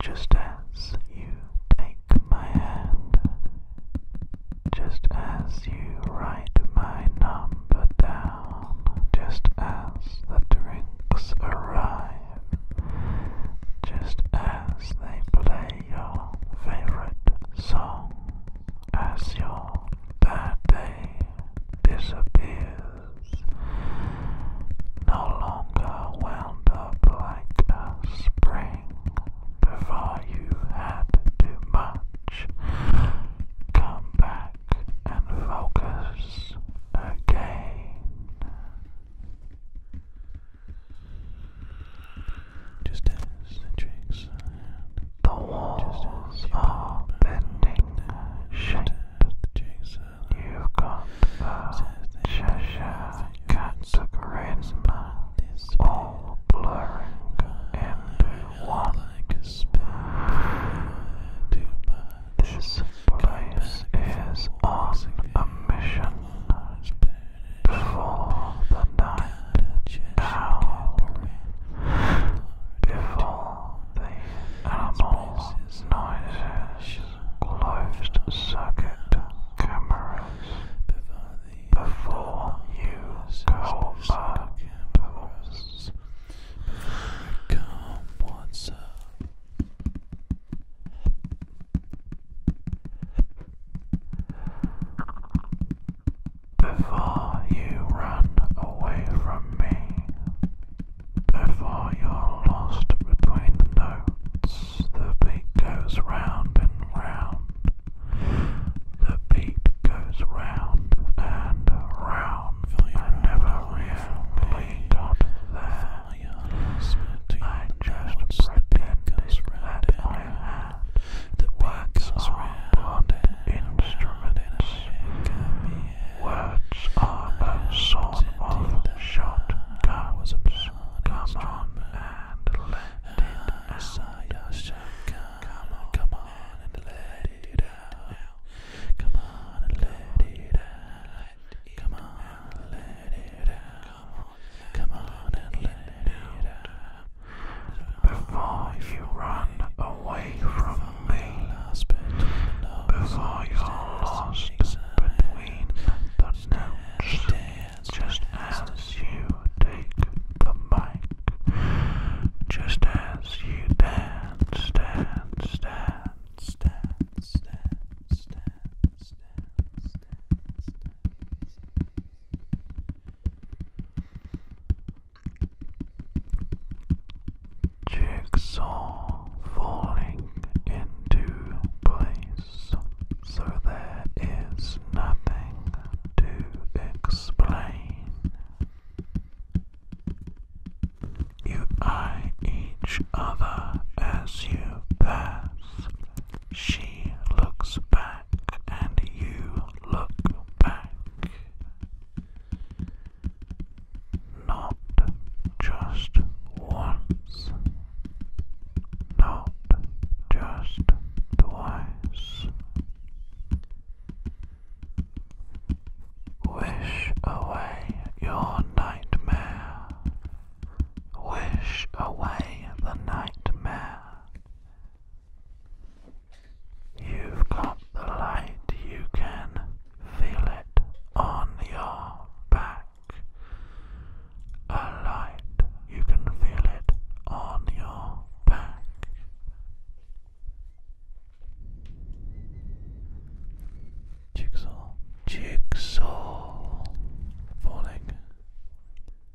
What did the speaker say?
Just as you take my hand, just as you write my number down, just as the drinks arrive, just as they play your favorite song, as your bad day disappears, no longer wound up like a spring thing before you had too much. Come back and focus again. Just as the tricks The walls are bending shape. You've got the cat took rainbow, all blurring into one. This place is on a mission before the night before the animals' noises closed circuit cameras before you go back. Come, what's up? Before you run away from me, before you're lost between the notes, the beat goes round and round. The beat goes round and round. I never really got there. I just pretended that I had the words on instruments. Words are a sort of shot. Come on and let it out. Come on and let it out. Come on and let it out. Come on and let it out. Come on and let it out. Before you run away away from me before you're lost between the notes. Just as you take the mic, just as you dance, dance, dance, dance, dance, dance, dance, dance. Jigsaw falling into place, so there is nothing to explain. You eye each other as you pass. She looks back and you look back. Not just once, not just twice. Wish away your nightmare. Wish away the nightmare. You've got the light, you can feel it on your back. A light, you can feel it on your back. Jigsaw, jigsaw, falling,